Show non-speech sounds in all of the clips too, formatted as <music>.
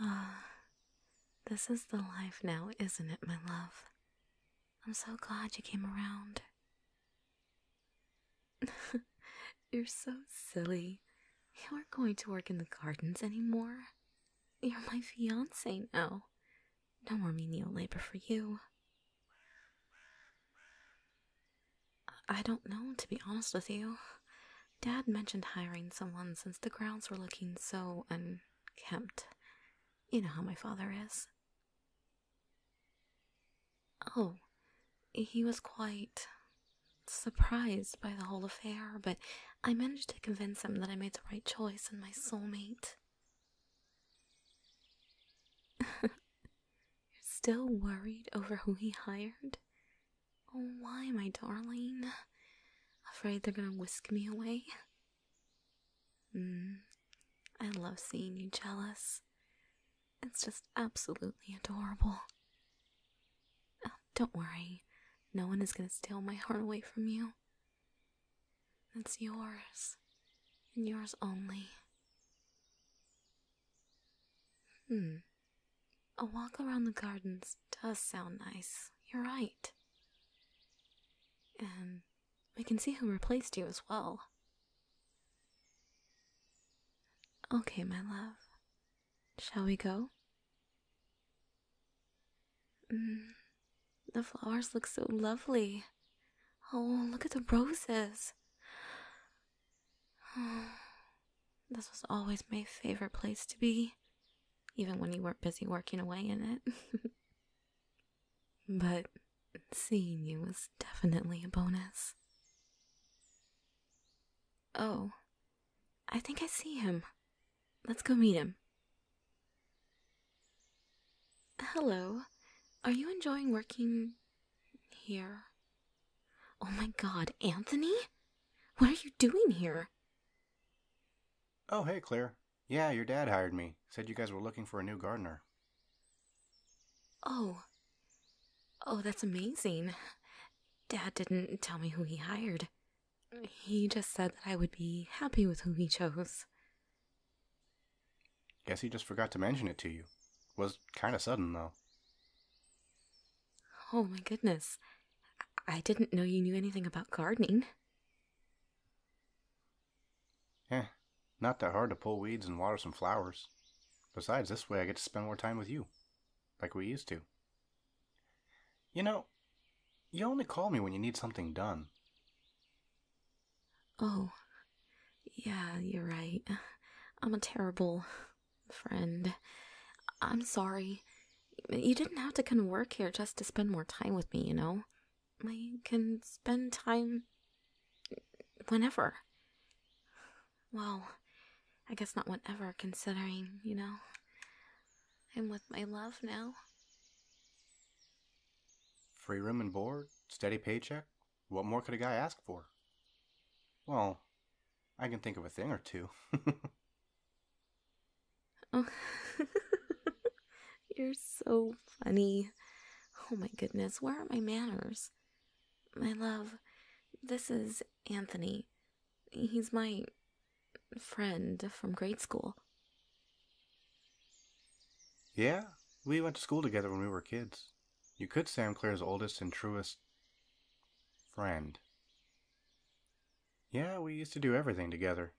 Ah, <sighs> this is the life now, isn't it, my love? I'm so glad you came around. <laughs> You're so silly. You aren't going to work in the gardens anymore. You're my fiance now. No more menial labor for you. I don't know, to be honest with you. Dad mentioned hiring someone since the grounds were looking so unkempt. You know how my father is. Oh, he was quite surprised by the whole affair, but I managed to convince him that I made the right choice in my soulmate. <laughs> You're still worried over who he hired? Oh, why, my darling? Afraid they're gonna whisk me away? Mm, I love seeing you jealous. It's just absolutely adorable. Oh, don't worry, no one is gonna steal my heart away from you. It's yours, and yours only. Hmm. A walk around the gardens does sound nice. You're right. And we can see who replaced you as well. Okay, my love. Shall we go? Mm, the flowers look so lovely. Oh, look at the roses. <sighs> Oh, this was always my favorite place to be, even when you weren't busy working away in it. <laughs> but seeing you was definitely a bonus. Oh, I think I see him. Let's go meet him. Hello. Are you enjoying working here. Oh my god, Anthony? What are you doing here? Oh, hey, Claire. Yeah, your dad hired me. Said you guys were looking for a new gardener. Oh. Oh, that's amazing. Dad didn't tell me who he hired. He just said that I would be happy with who he chose. Guess he just forgot to mention it to you. Was kinda sudden, though. Oh my goodness. I didn't know you knew anything about gardening. Eh, not that hard to pull weeds and water some flowers. Besides, this way I get to spend more time with you, like we used to. You know, you only call me when you need something done. Oh, yeah, you're right. I'm a terrible friend. I'm sorry. You didn't have to come work here just to spend more time with me, you know? I can spend time whenever. Well, I guess not whenever, considering, you know, I'm with my love now. Free room and board, steady paycheck, what more could a guy ask for? Well, I can think of a thing or two. <laughs> You're so funny. Oh my goodness, where are my manners? My love, this is Anthony. He's my friend from grade school. Yeah, we went to school together when we were kids. You could say Claire's oldest and truest friend. Yeah, we used to do everything together.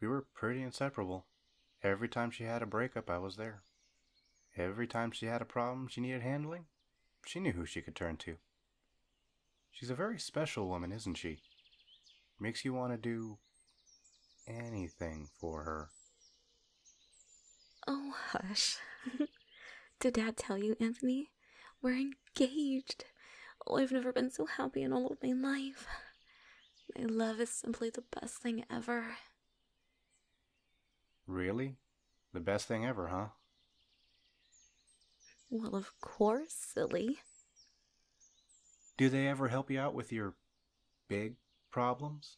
We were pretty inseparable. Every time she had a breakup, I was there. Every time she had a problem she needed handling, she knew who she could turn to. She's a very special woman, isn't she? Makes you want to do anything for her. Oh, hush. <laughs> Did Dad tell you, Anthony? We're engaged. Oh, I've never been so happy in all of my life. My love is simply the best thing ever. Really? The best thing ever, huh? Well, of course, silly. Do they ever help you out with your big problems?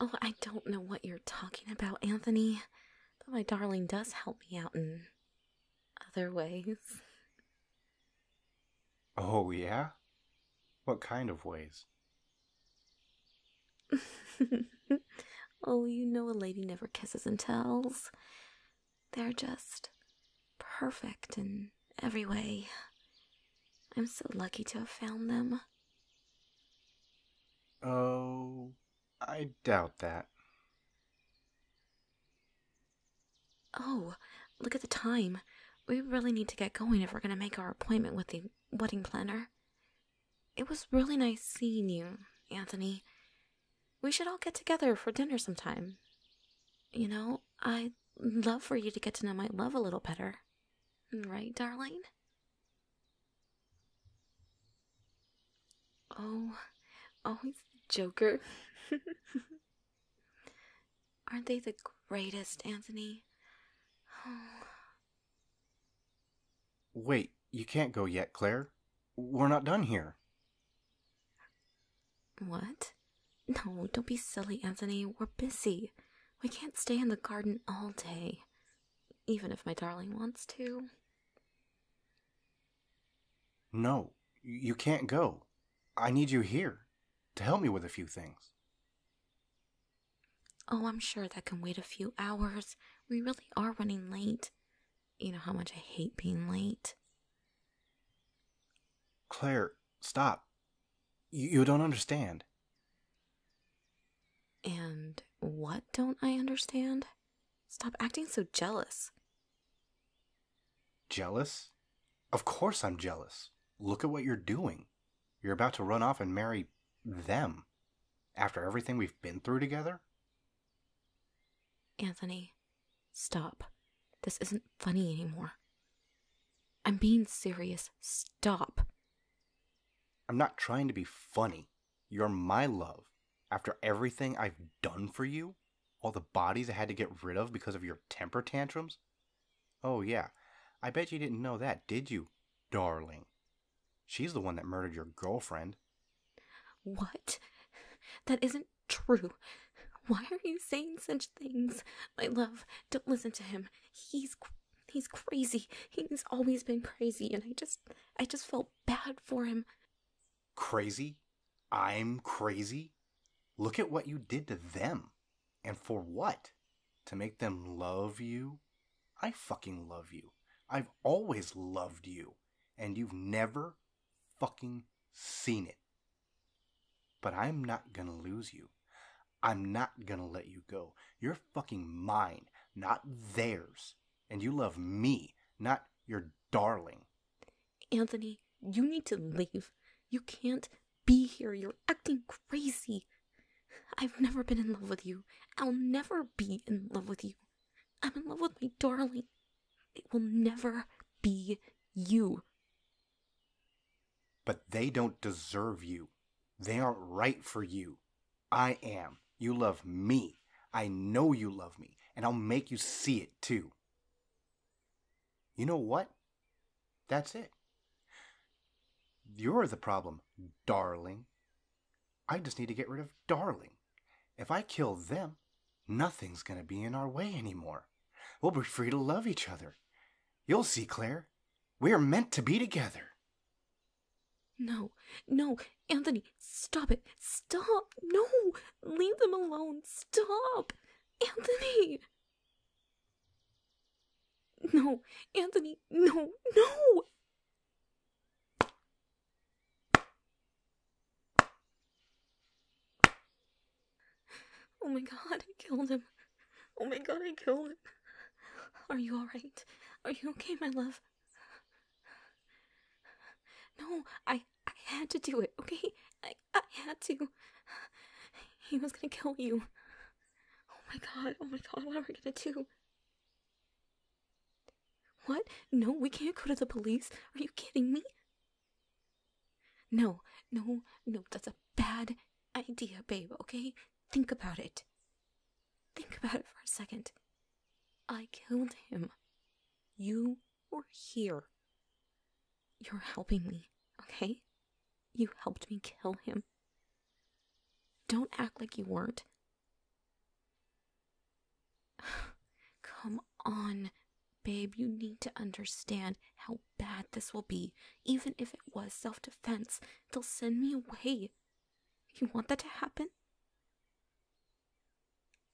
Oh, I don't know what you're talking about, Anthony. But my darling does help me out in other ways. Oh, yeah? What kind of ways? <laughs> oh, you know a lady never kisses and tells. They're just perfect and every way. I'm so lucky to have found them. Oh, I doubt that. Oh, look at the time. We really need to get going if we're going to make our appointment with the wedding planner. It was really nice seeing you, Anthony. We should all get together for dinner sometime. You know, I love for you to get to know my love a little better. Right, darling? Oh, always oh, the Joker. <laughs> Aren't they the greatest, Anthony? Oh. Wait, you can't go yet, Claire. We're not done here. What? No, don't be silly, Anthony. We're busy. We can't stay in the garden all day. Even if my darling wants to. No, you can't go. I need you here to help me with a few things. Oh, I'm sure that can wait a few hours. We really are running late. You know how much I hate being late. Claire, stop. You, don't understand. And what don't I understand? Stop acting so jealous. Jealous? Of course I'm jealous. Look at what you're doing. You're about to run off and marry them after everything we've been through together? Anthony, Stop. This isn't funny anymore. I'm being serious. Stop. I'm not trying to be funny. You're my love. After everything I've done for you, all the bodies I had to get rid of because of your temper tantrums. Oh, yeah. I bet you didn't know that, did you, darling? She's the one that murdered your girlfriend. What? That isn't true. Why are you saying such things? My love, don't listen to him. He's he's crazy. He's always been crazy and I just I just felt bad for him. Crazy? I'm crazy? Look at what you did to them. And for what? To make them love you? I fucking love you. I've always loved you. And you've never fucking seen it. But I'm not gonna lose you. I'm not gonna let you go. You're fucking mine, not theirs. And you love me, not your darling. Anthony, you need to leave. You can't be here. You're acting crazy. I've never been in love with you. I'll never be in love with you. I'm in love with my darling. It will never be you. But they don't deserve you. They aren't right for you. I am. You love me. I know you love me, and I'll make you see it too. You know what? That's it. You're the problem, darling. I just need to get rid of Darling. If I kill them, nothing's going to be in our way anymore. We'll be free to love each other. You'll see, Claire. We're meant to be together. No, no, Anthony, stop it. Stop. No, leave them alone. Stop. Anthony. No, Anthony, no, no. Oh my god, I killed him. Oh my god, I killed him. Are you alright? Are you okay, my love? No, I I had to do it, okay? I, I had to. He was gonna kill you. Oh my god, oh my god, what am I gonna do? What? No, we can't go to the police. Are you kidding me? No, no, no, that's a bad idea, babe, okay? Think about it. Think about it for a second. I killed him. You were here. You're helping me, okay? You helped me kill him. Don't act like you weren't. <sighs> Come on, babe, you need to understand how bad this will be. Even if it was self defense, they'll send me away. You want that to happen?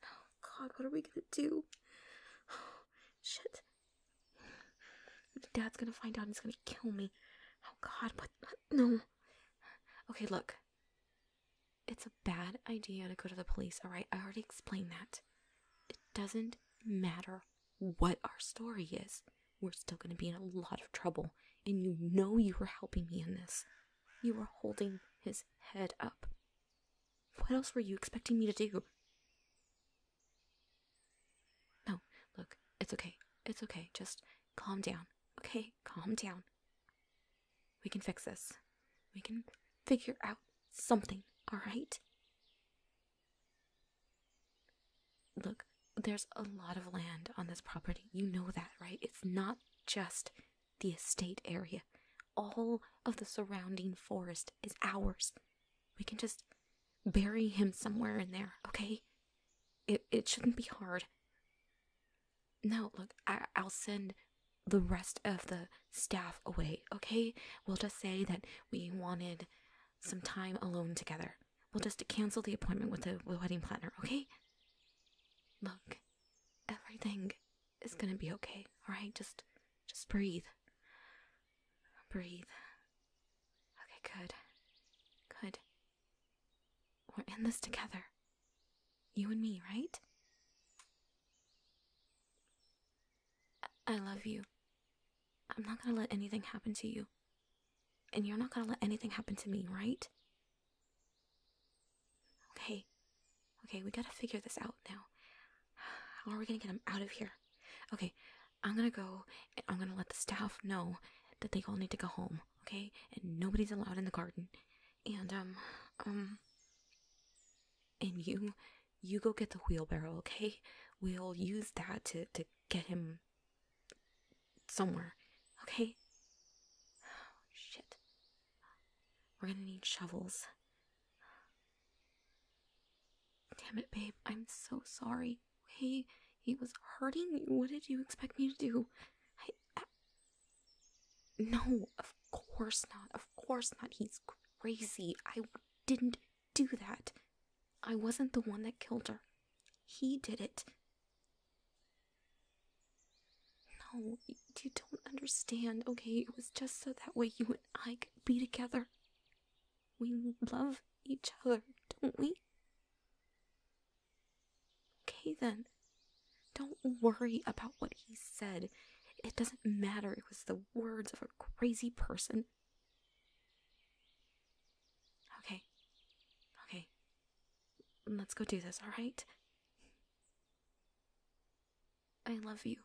Oh, <sighs> God, what are we gonna do? Oh, <sighs> shit. Dad's gonna find out he's gonna kill me. Oh, God, but No. Okay, look. It's a bad idea to go to the police, alright? I already explained that. It doesn't matter what our story is, we're still gonna be in a lot of trouble, and you know you were helping me in this. You were holding his head up. What else were you expecting me to do? No, look, it's okay. It's okay. Just calm down. Okay, calm down. We can fix this. We can figure out something, alright? Look, there's a lot of land on this property. You know that, right? It's not just the estate area, all of the surrounding forest is ours. We can just bury him somewhere in there, okay? It, it shouldn't be hard. No, look, I, will send the rest of the staff away, okay? We'll just say that we wanted some time alone together. We'll just cancel the appointment with the wedding planner, okay? Look, everything is gonna be okay, alright? Just just breathe. Breathe. Okay, good. Good. We're in this together. You and me, right? I, love you. I'm not gonna let anything happen to you. And you're not gonna let anything happen to me, right? Okay. Okay, we gotta figure this out now. <sighs> How are we gonna get him out of here? Okay, I'm gonna go and I'm gonna let the staff know that they all need to go home okay? And nobody's allowed in the garden. And, um, um, and you, you go get the wheelbarrow, okay? We'll use that to, to get him somewhere, okay? <sighs> shit. We're gonna need shovels. Damn it, babe. I'm so sorry he he was hurting. What did you expect me to do? I no, of course not. Of course not. He's crazy. I didn't do that. I wasn't the one that killed her. He did it. No, you don't understand. Okay, it was just so that way you and I could be together. We love each other, don't we? Okay then. Don't worry about what he said. It doesn't matter. It was the words of a crazy person. Okay. Okay. Let's go do this, alright? I love you.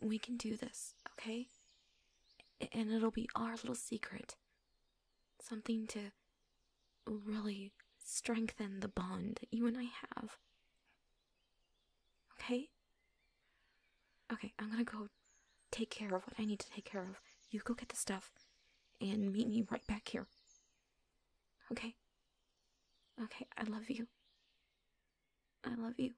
We can do this, okay? And it'll be our little secret. Something to really strengthen the bond that you and I have. Okay? Okay, I'm gonna go take care of what I need to take care of. You go get the stuff and meet me right back here. Okay? Okay, I love you. I love you.